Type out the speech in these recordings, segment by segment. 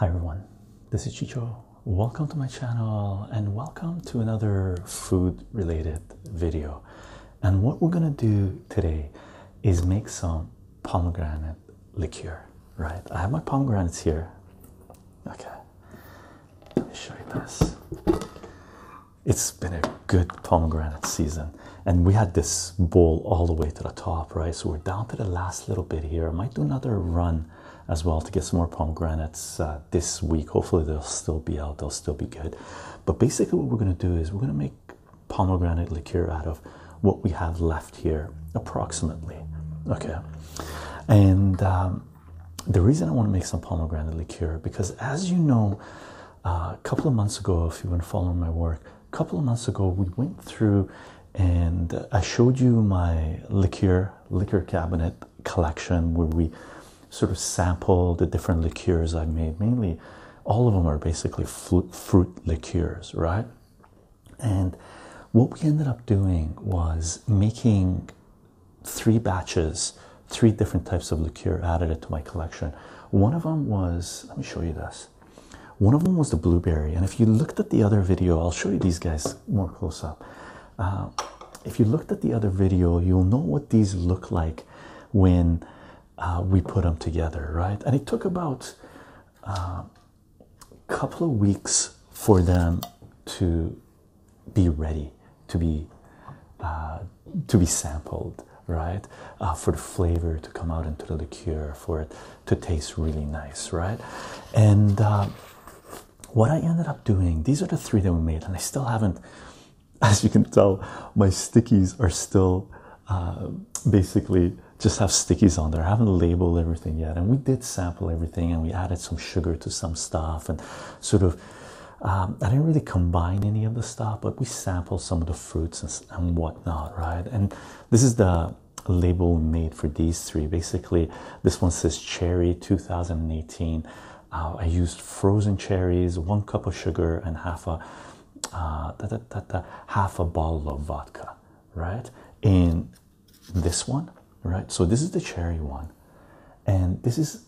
Hi everyone, this is Chicho. Welcome to my channel and welcome to another food related video. And what we're gonna do today is make some pomegranate liqueur, right? I have my pomegranates here. Okay, let me show you this it's been a good pomegranate season, and we had this bowl all the way to the top, right? So we're down to the last little bit here. I might do another run as well to get some more pomegranates uh, this week. Hopefully, they'll still be out, they'll still be good. But basically, what we're going to do is we're going to make pomegranate liqueur out of what we have left here, approximately. Okay, and um, the reason I want to make some pomegranate liqueur because, as you know, uh, a couple of months ago, if you've been following my work, a couple of months ago we went through and uh, I showed you my liqueur liquor cabinet collection where we sort of sampled the different liqueurs I've made. Mainly, all of them are basically fruit liqueurs, right? And what we ended up doing was making three batches, three different types of liqueur added it to my collection. One of them was, let me show you this. One of them was the blueberry, and if you looked at the other video, I'll show you these guys more close up. Uh, if you looked at the other video, you'll know what these look like when uh, we put them together, right? And it took about a uh, couple of weeks for them to be ready to be uh, to be sampled right uh, for the flavor to come out into the liqueur for it to taste really nice right and uh, what I ended up doing these are the three that we made and I still haven't as you can tell my stickies are still uh, basically just have stickies on there I haven't labeled everything yet and we did sample everything and we added some sugar to some stuff and sort of um, I didn't really combine any of the stuff, but we sampled some of the fruits and, whatnot, right? And this is the label made for these three. Basically, this one says cherry 2018. Uh, I used frozen cherries, one cup of sugar, and half a uh, half a bottle of vodka, right? In this one, right? So this is the cherry one, and this is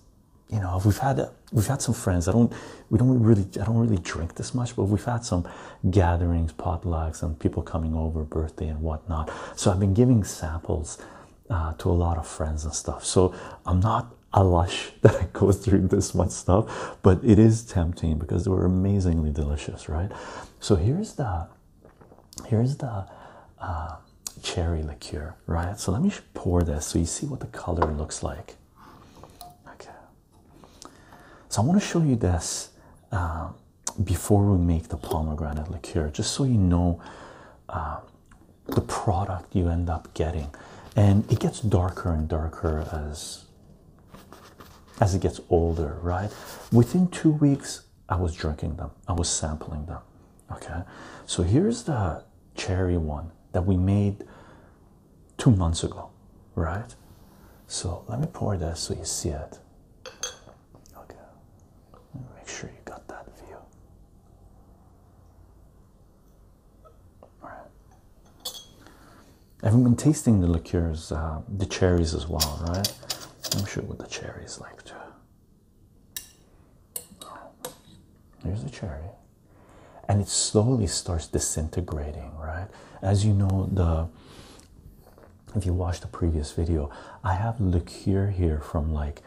you know, we've had uh, we've had some friends. I don't we don't really I don't really drink this much, but we've had some gatherings, potlucks, and people coming over, birthday and whatnot. So I've been giving samples uh, to a lot of friends and stuff. So I'm not a lush that I go through this much stuff, but it is tempting because they were amazingly delicious, right? So here's the here's the uh, cherry liqueur, right? So let me pour this so you see what the color looks like. Okay. So I want to show you this um, before we make the pomegranate liqueur, just so you know um, the product you end up getting. And it gets darker and darker as as it gets older, right? Within two weeks, I was drinking them. I was sampling them. Okay. So here's the cherry one that we made two months ago, right? So let me pour this so you see it. Okay, make sure you got that view. All right. I've been tasting the liqueurs, uh, the cherries as well, right? I'm sure what the cherries like too. Here's the cherry and it slowly starts disintegrating right as you know the if you watched the previous video i have liqueur here from like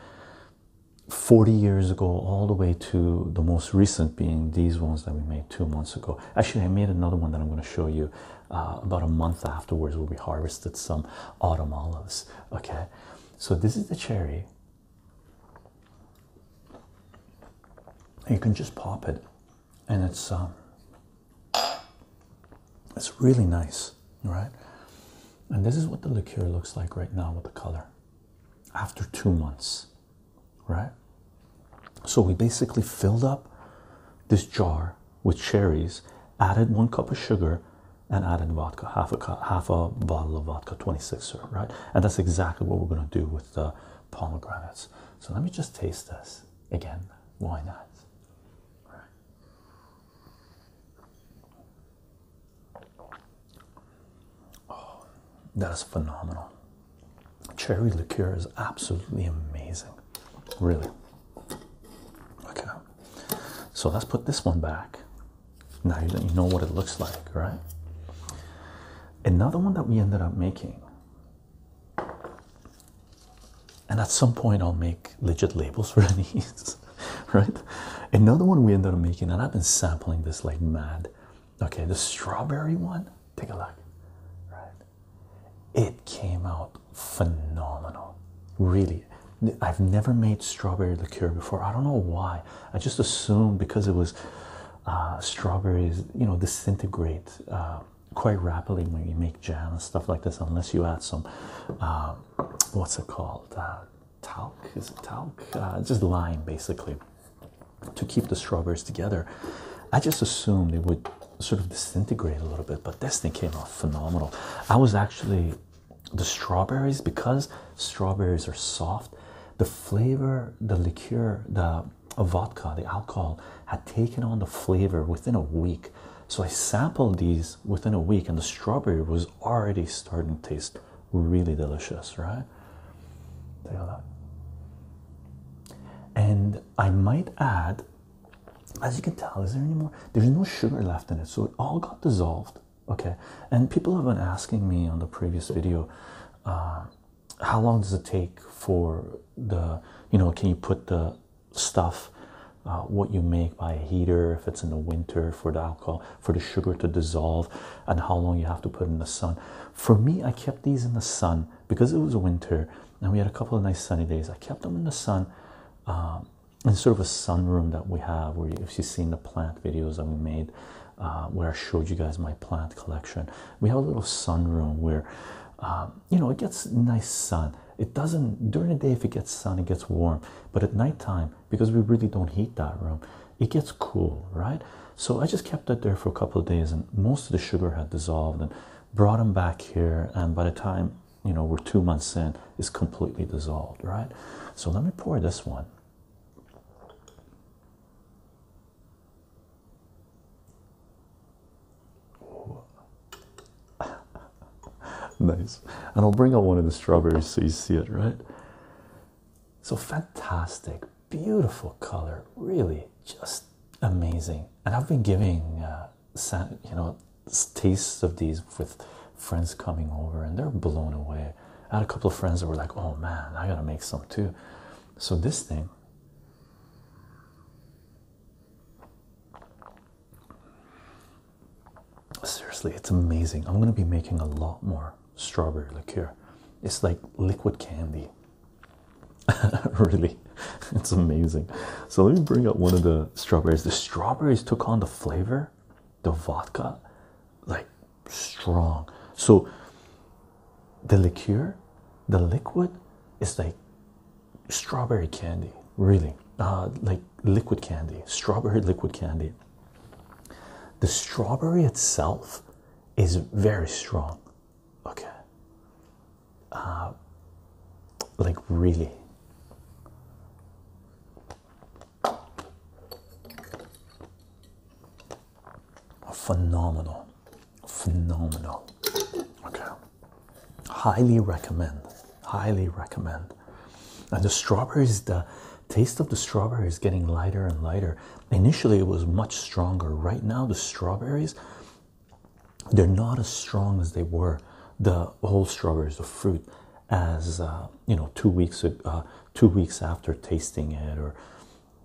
40 years ago all the way to the most recent being these ones that we made two months ago actually i made another one that i'm going to show you uh, about a month afterwards where we harvested some autumn olives okay so this is the cherry you can just pop it, and it's um, it's really nice, right? And this is what the liqueur looks like right now with the color after two months, right? So we basically filled up this jar with cherries, added one cup of sugar, and added vodka, half a cup, half a bottle of vodka, 26er, right? and that's exactly what we're going to do with the pomegranates. So let me just taste this again. Why not? Oh, that is phenomenal. Cherry liqueur is absolutely amazing, really. Okay, so let's put this one back now you know what it looks like, right? Another one that we ended up making, and at some point I'll make legit labels for these, right? Another one we ended up making, and I've been sampling this like mad. Okay, the strawberry one, take a look, right? It came out phenomenal, really. I've never made strawberry liqueur before. I don't know why. I just assumed because it was uh, strawberries, you know, disintegrate uh, quite rapidly when you make jam and stuff like this, unless you add some, um, what's it called, uh, talc? Is it talc? Uh, just lime, basically, to keep the strawberries together. I just assumed they would sort of disintegrate a little bit, but this thing came out phenomenal. I was actually the strawberries because strawberries are soft the flavor, the liqueur, the vodka, the alcohol had taken on the flavor within a week. So I sampled these within a week, and the strawberry was already starting to taste really delicious, right? Take a look. And I might add, as you can tell, is there any more? There's no sugar left in it, so it all got dissolved okay and people have been asking me on the previous video uh, how long does it take for the you know can you put the stuff uh, what you make by a heater if it's in the winter for the alcohol for the sugar to dissolve and how long you have to put in the sun for me i kept these in the sun because it was winter and we had a couple of nice sunny days i kept them in the sun um, in sort of a sun room that we have where if you've seen the plant videos that we made uh, where I showed you guys my plant collection. We have a little sunroom where, um, you know, it gets nice sun. It doesn't during the day if it gets sun, it gets warm, but at nighttime because we really don't heat that room, it gets cool, right? So I just kept that there for a couple of days, and most of the sugar had dissolved, and brought them back here. And by the time you know we're two months in, it's completely dissolved, right? So let me pour this one. nice. And I'll bring out one of the strawberries so you see it, right? So fantastic, beautiful color, really just amazing. And I've been giving, uh, you know, tastes of these with friends coming over, and they're blown away. I had a couple of friends that were like, oh man, I gotta make some too. So this thing seriously, it's amazing. I'm gonna be making a lot more strawberry liqueur. It's like liquid candy. really, it's amazing. So let me bring up one of the strawberries. The strawberries took on the flavor the vodka like strong so the liqueur the liquid is like strawberry candy really uh, like liquid candy strawberry liquid candy the strawberry itself is very strong okay uh, like really Phenomenal, phenomenal. Okay, highly recommend, highly recommend. And the strawberries, the taste of the strawberries is getting lighter and lighter. Initially, it was much stronger. Right now, the strawberries they're not as strong as they were the whole strawberries, the fruit, as uh, you know, two weeks ago, uh, two weeks after tasting it, or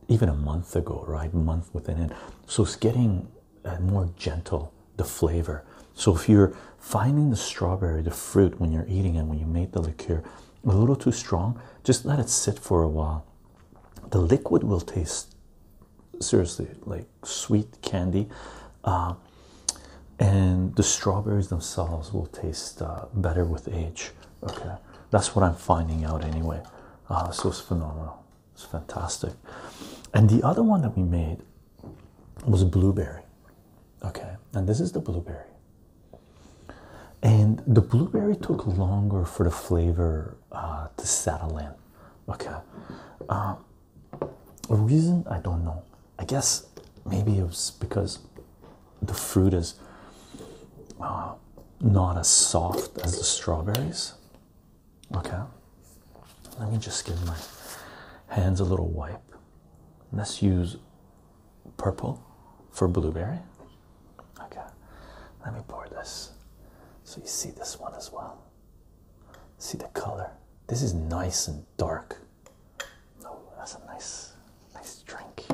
even a month ago, right? Month within it. So it's getting uh, more gentle, the flavor. So if you're finding the strawberry, the fruit when you're eating it, when you made the liqueur, a little too strong, just let it sit for a while. The liquid will taste seriously like sweet candy. Uh, and the strawberries themselves will taste uh, better with age. Okay, that's what I'm finding out anyway. Ah, oh, this was phenomenal. It's fantastic. And the other one that we made was blueberry. Okay, and this is the blueberry. And the blueberry took longer for the flavor uh, to settle in. Okay, uh, a reason I don't know. I guess maybe it was because the fruit is uh, not as soft as the strawberries. Okay, let me just give my hands a little wipe. Let's use purple for blueberry. Okay, let me pour this so you see this one as well. See the color. This is nice and dark. Oh, that's a nice, nice drink.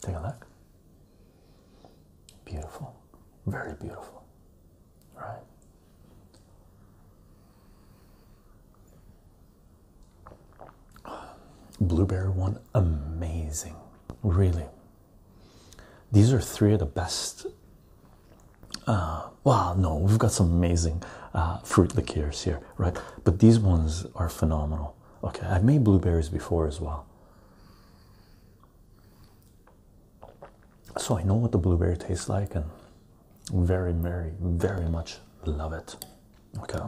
Take a look. Beautiful, very beautiful, right? Blueberry one, amazing, really. These are three of the best. Uh, wow, no, we've got some amazing uh, fruit liqueurs here, right? But these ones are phenomenal. Okay, I've made blueberries before as well. So I know what the blueberry tastes like and very, very, very much love it. Okay.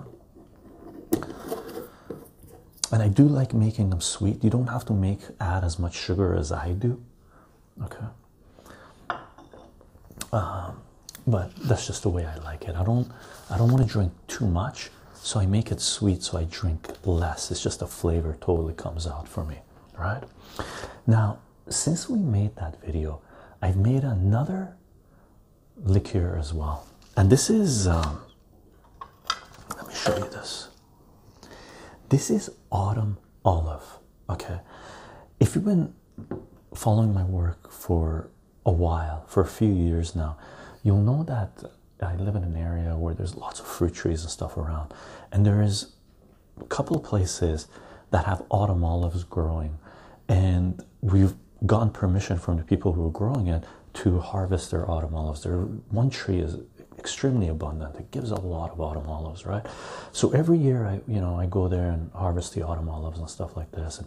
And I do like making them sweet. You don't have to make add as much sugar as I do. Okay. Um, but that's just the way I like it. I don't I don't want to drink too much, so I make it sweet so I drink less. It's just the flavor totally comes out for me, right? Now, since we made that video, I've made another liqueur as well. And this is um, let me show you this. This is autumn olive. Okay. If you've been following my work for a while, for a few years now, you'll know that I live in an area where there's lots of fruit trees and stuff around, and there is a couple places that have autumn olives growing, and we've gotten permission from the people who are growing it to harvest their autumn olives. There, one tree is extremely abundant; it gives a lot of autumn olives, right? So every year, I you know I go there and harvest the autumn olives and stuff like this,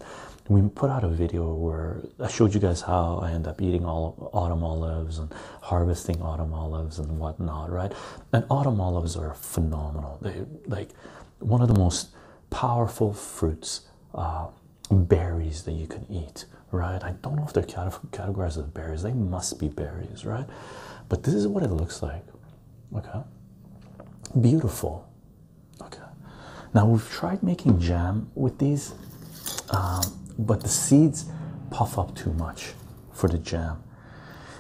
we put out a video where I showed you guys how I end up eating all autumn olives and harvesting autumn olives and whatnot, right? And autumn olives are phenomenal. They like one of the most powerful fruits, uh, berries that you can eat, right? I don't know if they're categorized as berries. They must be berries, right? But this is what it looks like. Okay, beautiful, Okay, now we've tried making jam with these, um, but the seeds puff up too much for the jam.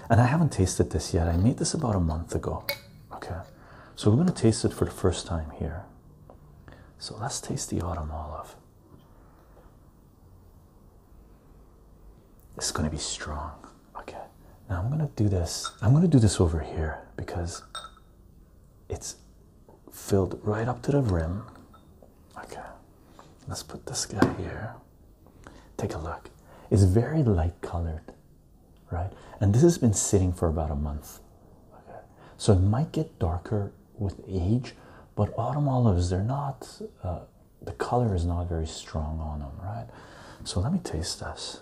And I haven't tasted this yet. I made this about a month ago. Okay, so we're going to taste it for the first time here. So let's taste the autumn olive. It's going to be strong. Okay, now I'm going to do this. I'm going to do this over here because it's filled right up to the rim. Okay, let's put this guy here. Take a look. It's very light colored, right? And this has been sitting for about a month. Okay, so it might get darker with age, but autumn olives, they're not, uh, the color is not very strong on them, right? So let me taste this.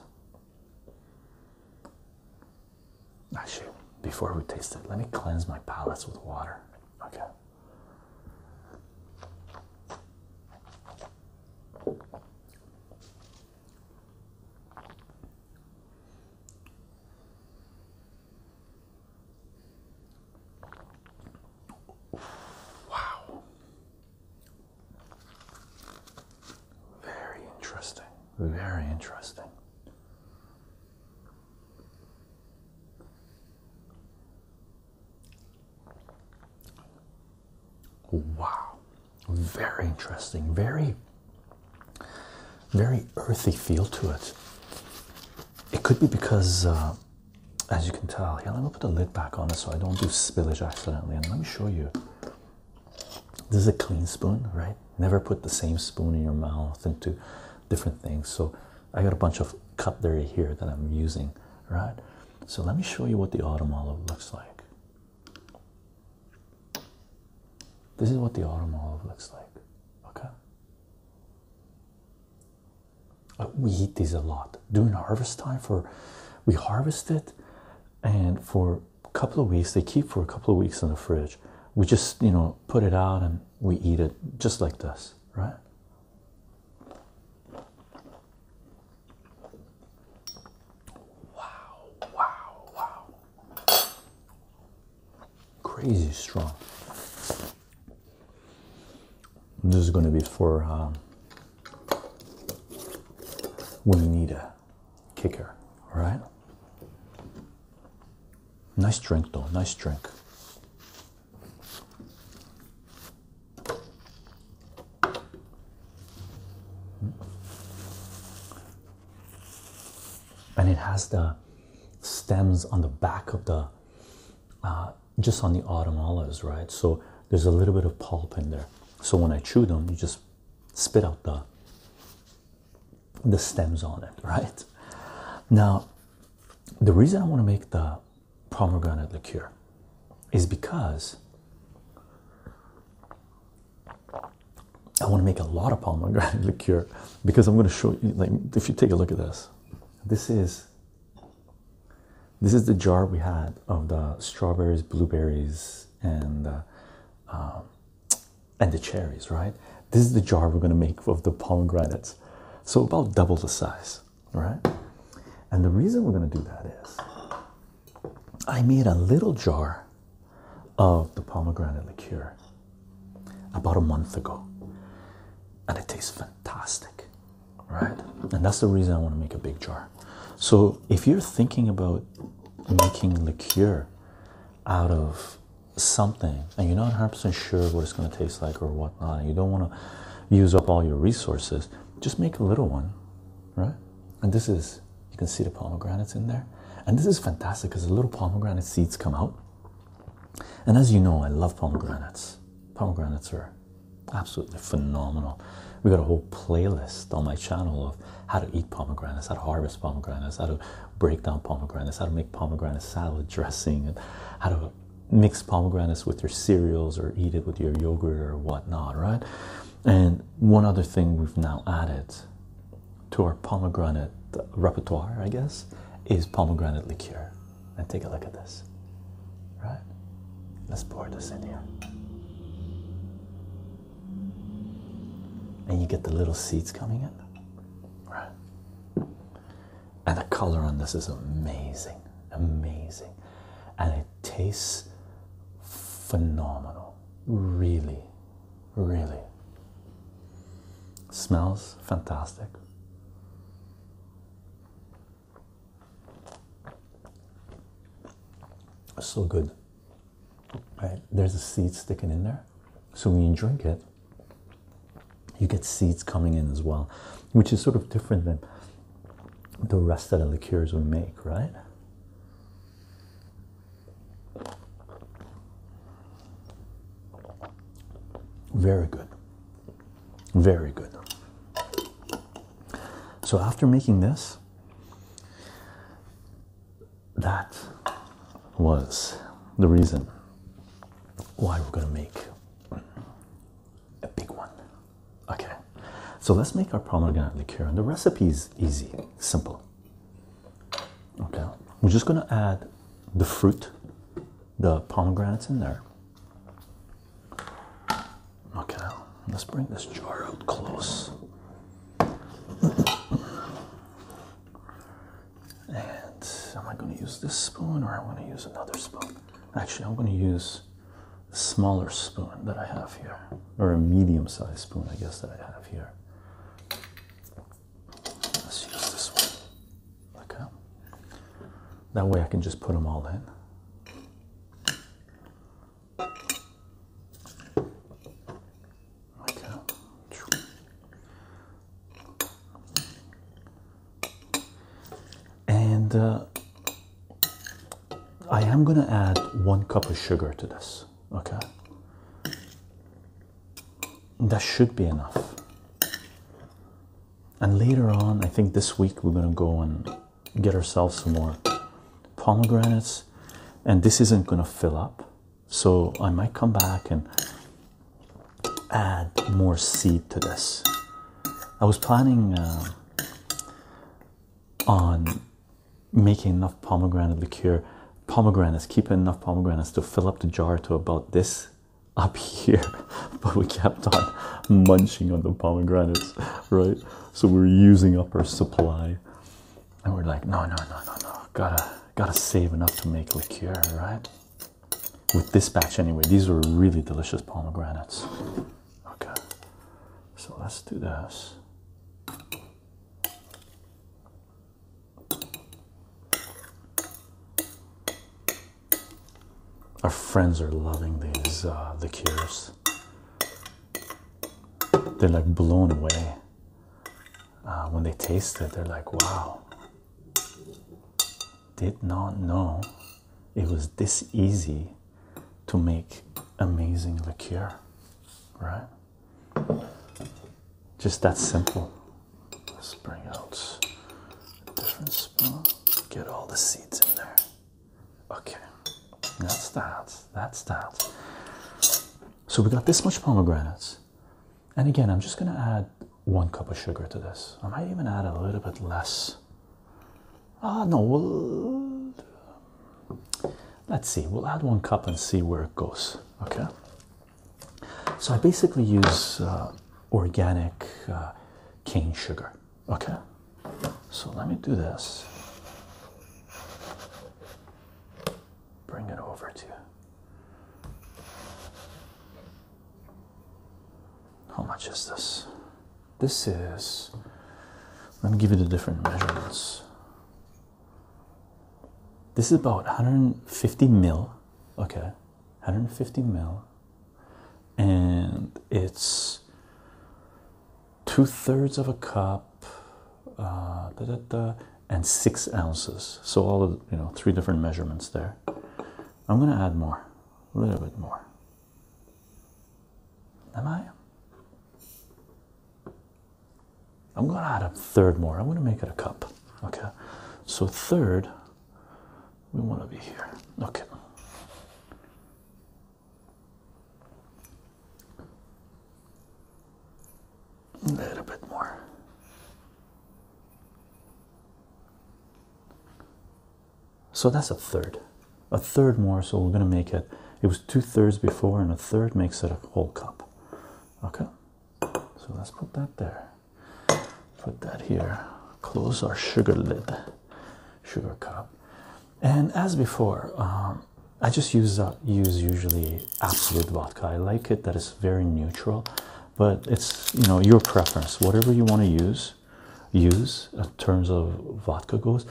Actually, before we taste it, let me cleanse my palates with water. Okay. Wow. Very interesting. Very interesting. Wow. Very interesting. Very, very earthy feel to it. It could be because, uh, as you can tell, here, let me put the lid back on it so I don't do spillage accidentally. And let me show you this is a clean spoon, right? Never put the same spoon in your mouth into different things. So I got a bunch of cutlery here that I'm using, right? So let me show you what the autumn olive looks like. This is what the autumn olive looks like. Okay. Uh, we eat these a lot during harvest time. For we harvest it, and for couple of weeks. They keep for a couple of weeks in the fridge. We just, you know, put it out and we eat it just like this, right? Wow, wow, wow. Crazy strong. This is going to be for um, when you need it kicker, right? Nice drink, though. Nice drink. And it has the stems on the back of the, uh, just on the autumn olives, right? So there's a little bit of pulp in there. So when I chew them, you just spit out the the stems on it, right? Now, the reason I want to make the pomegranate liqueur is because I want to make a lot of pomegranate liqueur because I'm going to show you. Like, if you take a look at this, this is this is the jar we had of the strawberries, blueberries, and uh, um, and the cherries, right? This is the jar we're going to make of the pomegranates. So about double the size, right? And the reason we're going to do that is I made a little jar of the pomegranate liqueur about a month ago. And it tastes fantastic, right? And that's the reason I want to make a big jar. So if you're thinking about making liqueur out of something and you're not 100% sure what it's going to taste like or whatnot, you don't want to use up all your resources, just make a little one, right? And this is, you can see the pomegranates in there. And this is fantastic because the little pomegranate seeds come out. And as you know, I love pomegranates. Pomegranates are absolutely phenomenal. We got a whole playlist on my channel of how to eat pomegranates, how to harvest pomegranates, how to break down pomegranates, how to make pomegranate salad dressing, and how to mix pomegranates with your cereals or eat it with your yogurt or whatnot, right? And one other thing we've now added to our pomegranate repertoire, I guess, is pomegranate liqueur. And take a look at this, right? Let's pour this in here and you get the little seeds coming in. Right. And the color on this is amazing, amazing, and it tastes phenomenal. Really, really. Smells fantastic. So good right? There's a seed sticking in there. So when you drink it, you get seeds coming in as well, which is sort of different than the rest of the liqueurs we make, right? Very good. Very good. So after making this, that was the reason why we're going to make a big one. Okay, so let's make our pomegranate liqueur, and the recipe is easy, simple. Okay, we're just going to add the fruit, the pomegranates in there. Okay, let's bring this jar out close. And am I going to use this spoon or I'm going to use another spoon? Actually, I'm going to use a smaller spoon that I have here, or a medium sized spoon, I guess, that I have here. Let's use this one. Okay. That way I can just put them all in like and uh, I am going to add one cup of sugar to this. Okay, that should be enough. And later on, I think this week we're going to go and get ourselves some more pomegranates, and this isn't going to fill up. So I might come back and add more seed to this. I was planning uh, on making enough pomegranate liqueur, pomegranates, keeping enough pomegranates to fill up the jar to about this up here, but we kept on munching on the pomegranates, right? So we're using up our supply and we're like, no, no, no, no, no, gotta gotta save enough to make liqueur, right? With this batch anyway, these were really delicious pomegranates. Okay, so let's do this. Our friends are loving these uh, liqueurs. They're like blown away uh, when they taste it, they're like, wow, did not know it was this easy to make amazing liqueur, right? Just that simple. Let's bring out different spoon, get all the seeds in there. Okay, that's that. That's that. So we got this much pomegranates. And again, I'm just going to add one cup of sugar to this. I might even add a little bit less. Ah, no, Let's see, we'll add one cup and see where it goes. Okay. So I basically use uh, organic uh, cane sugar. Okay. So let me do this bring it over to you. How much is this? This is, let me give you the different measurements. This is about 150 mil, okay, 150 mil, and it's two thirds of a cup uh, and six ounces. So all of you know three different measurements there. I'm gonna add more, a little bit more. Am I? I'm gonna add a third more. I'm gonna make it a cup. Okay. So third, we want to be here. Okay. A little bit more. So that's a third. A third more, so we're going to make it. It was two thirds before, and a third makes it a whole cup. Okay, so let's put that there. Put that here. Close our sugar lid, sugar cup. And as before, um, I just use uh, use usually absolute vodka. I like it that is very neutral, but it's you know your preference. Whatever you want to use, use in terms of vodka goes,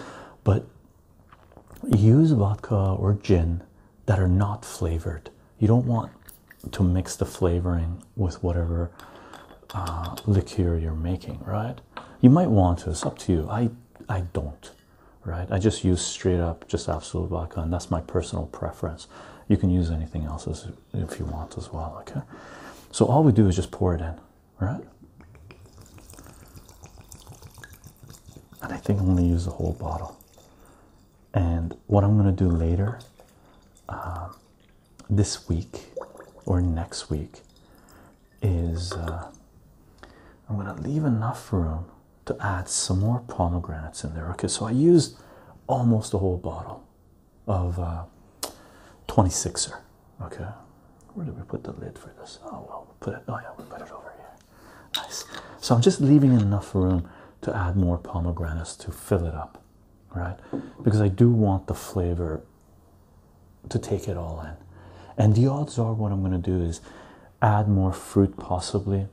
but use vodka or gin that are not flavored. You don't want to mix the flavoring with whatever uh, liqueur you're making, right? You might want to. It's up to you. I I don't right I just use straight up just absolute vodka and that's my personal preference you can use anything else as, if you want as well okay so all we do is just pour it in right and I think I'm gonna use the whole bottle and what I'm gonna do later um, this week or next week is uh, I'm gonna leave enough room to add some more pomegranates in there. Okay, so I used almost a whole bottle of uh, 26er. Okay, where did we put the lid for this? Oh, well, we put it. Oh, yeah, we we'll put it over here. Nice. So I'm just leaving enough room to add more pomegranates to fill it up, right? Because I do want the flavor to take it all in. And the odds are, what I'm going to do is add more fruit possibly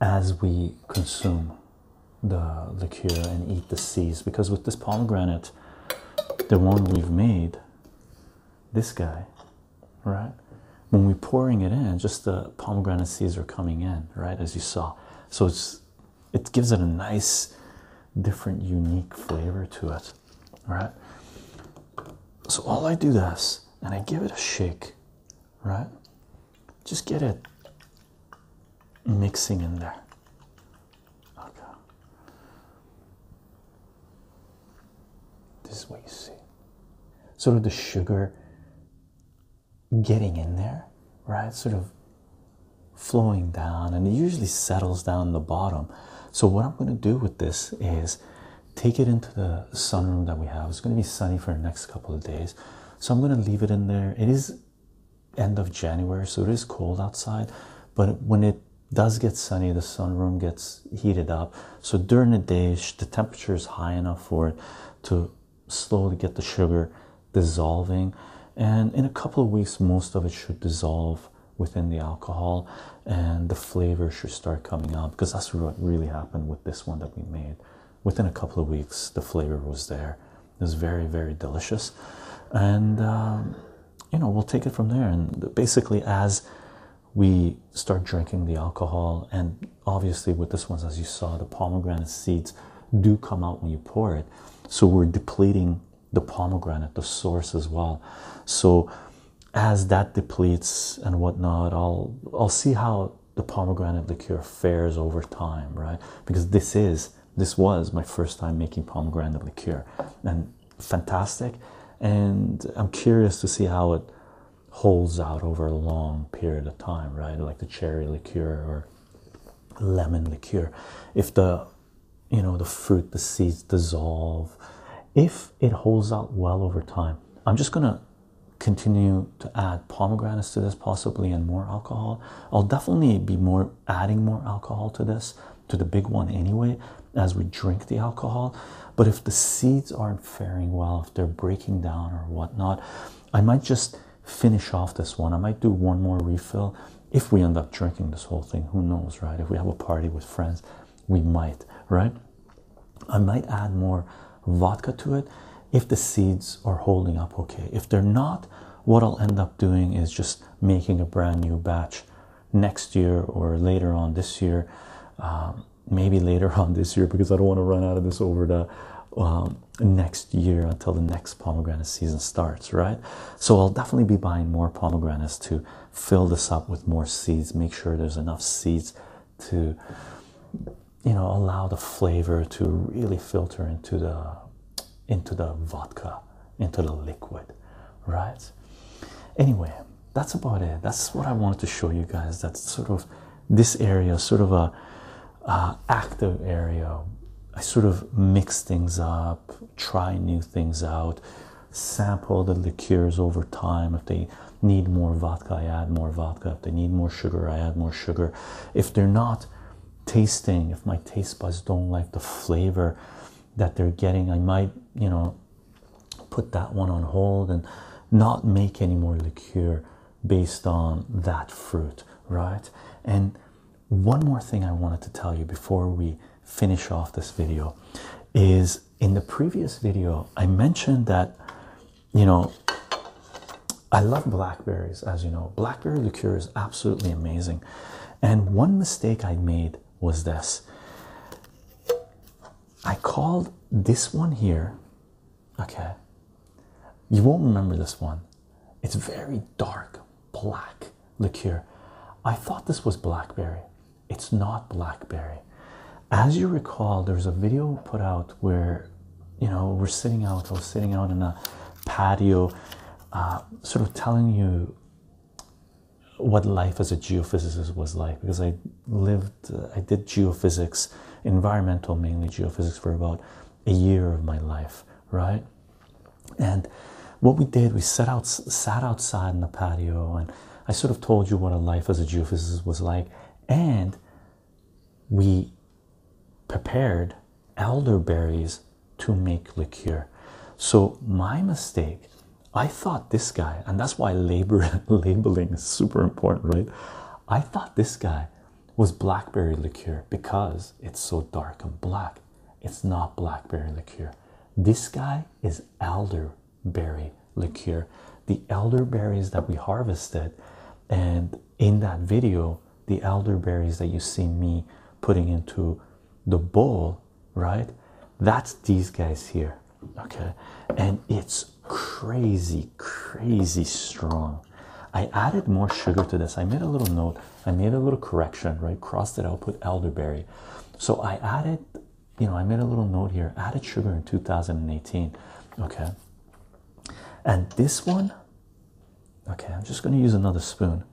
as we consume the liqueur and eat the seeds because with this pomegranate the one we've made this guy right when we're pouring it in just the pomegranate seeds are coming in right as you saw so it's it gives it a nice different unique flavor to it right so all I do is, and I give it a shake, right? Just get it mixing in there. Okay. This is what you see. Sort of the sugar getting in there, right? Sort of flowing down, and it usually settles down the bottom. So, what I'm going to do with this is take it into the sunroom that we have. It's going to be sunny for the next couple of days. So I'm going to leave it in there. It is end of January, so it is cold outside, but when it does get sunny, the sunroom gets heated up. So during the day, the temperature is high enough for it to slowly get the sugar dissolving. And in a couple of weeks, most of it should dissolve within the alcohol and the flavor should start coming out because that's what really happened with this one that we made. Within a couple of weeks, the flavor was there. It was very, very delicious, and um, you know we'll take it from there. And basically, as we start drinking the alcohol, and obviously with this one, as you saw, the pomegranate seeds do come out when you pour it, so we're depleting the pomegranate, the source as well. So as that depletes and whatnot, I'll I'll see how the pomegranate liqueur fares over time, right? Because this is this was my first time making pomegranate liqueur, and fantastic. And I'm curious to see how it holds out over a long period of time, right? Like the cherry liqueur or lemon liqueur, if the you know the fruit, the seeds dissolve, if it holds out well over time. I'm just going to continue to add pomegranates to this possibly and more alcohol. I'll definitely be more adding more alcohol to this, to the big one anyway, as we drink the alcohol. But if the seeds aren't faring well, if they're breaking down or whatnot, I might just finish off this one. I might do one more refill if we end up drinking this whole thing. Who knows, right? If we have a party with friends, we might, right? I might add more vodka to it if the seeds are holding up okay. If they're not, what I'll end up doing is just making a brand new batch next year or later on this year. Um, maybe later on this year because I don't want to run out of this over the um, next year until the next pomegranate season starts, right? So I'll definitely be buying more pomegranates to fill this up with more seeds, make sure there's enough seeds to you know allow the flavor to really filter into the into the vodka into the liquid right anyway that's about it that's what i wanted to show you guys That sort of this area sort of a active area i sort of mix things up try new things out sample the liqueurs over time if they need more vodka, I add more vodka. If they need more sugar, I add more sugar. If they're not tasting, if my taste buds don't like the flavor that they're getting, I might, you know, put that one on hold and not make any more liqueur based on that fruit, right? And one more thing I wanted to tell you before we finish off this video is in the previous video, I mentioned that you know I love blackberries, as you know. Blackberry liqueur is absolutely amazing. And one mistake I made was this I called this one here, okay. You won't remember this one, it's very dark black liqueur. I thought this was blackberry it's not blackberry as you recall there's a video put out where you know we're sitting out or sitting out in a patio uh, sort of telling you what life as a geophysicist was like because i lived uh, i did geophysics environmental mainly geophysics for about a year of my life right and what we did we sat out sat outside in the patio and i sort of told you what a life as a geophysicist was like and we prepared elderberries to make liqueur. So, my mistake, I thought this guy, and that's why labeling is super important, right? I thought this guy was blackberry liqueur because it's so dark and black. It's not blackberry liqueur. This guy is elder berry liqueur, the elderberries that we harvested. And in that video, the elderberries that you see me putting into the bowl, right? That's these guys here, okay? And it's crazy, crazy strong. I added more sugar to this. I made a little note, I made a little correction, right? Crossed it out, put elderberry. So I added you know, I made a little note here, added sugar in 2018. Okay. And this one, okay, I'm just going to use another spoon.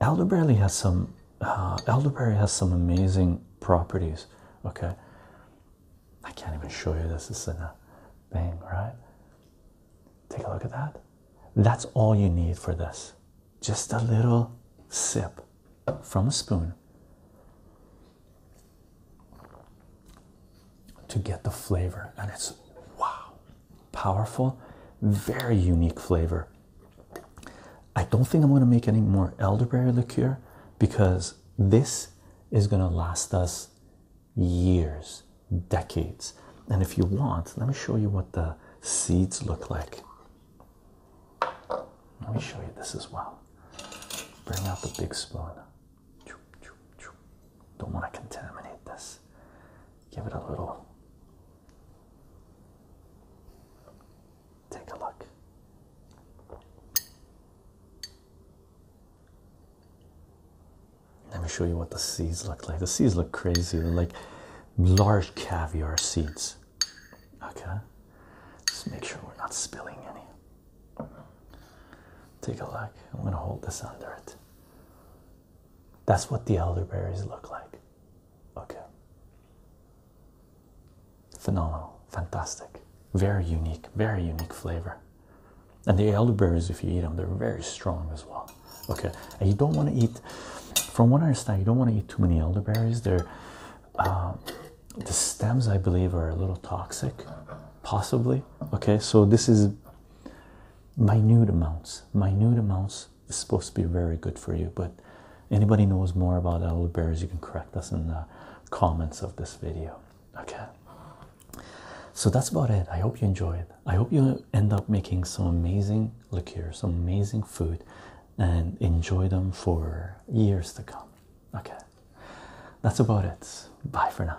Elderberry has some, uh, elderberry has some amazing properties. Okay. I can't even show you this. This is a thing, right? Take a look at that. That's all you need for this just a little sip from a spoon to get the flavor, and it's wow, powerful, very unique flavor. I don't think I'm going to make any more elderberry liqueur because this is going to last us years, decades. And if you want, let me show you what the seeds look like. Let me show you this as well. Bring out the big spoon. Don't want to contaminate this. Give it a little. Take a look. Let me show you what the seeds look like. The seeds look crazy. They're like large caviar seeds. Okay, just make sure we're not spilling any. Take a look. I'm gonna hold this under it. That's what the elderberries look like. Okay. Phenomenal, fantastic, very unique, very unique flavor. And the elderberries, if you eat them, they're very strong as well. Okay, and you don't want to eat from what I understand, you don't want to eat too many elderberries. They're um, the stems, I believe, are a little toxic, possibly. Okay, so this is minute amounts. Minute amounts is supposed to be very good for you. But anybody knows more about elderberries, you can correct us in the comments of this video. Okay. So that's about it. I hope you enjoyed. I hope you end up making some amazing liqueurs, some amazing food, and enjoy them for years to come. Okay, that's about it. Bye for now.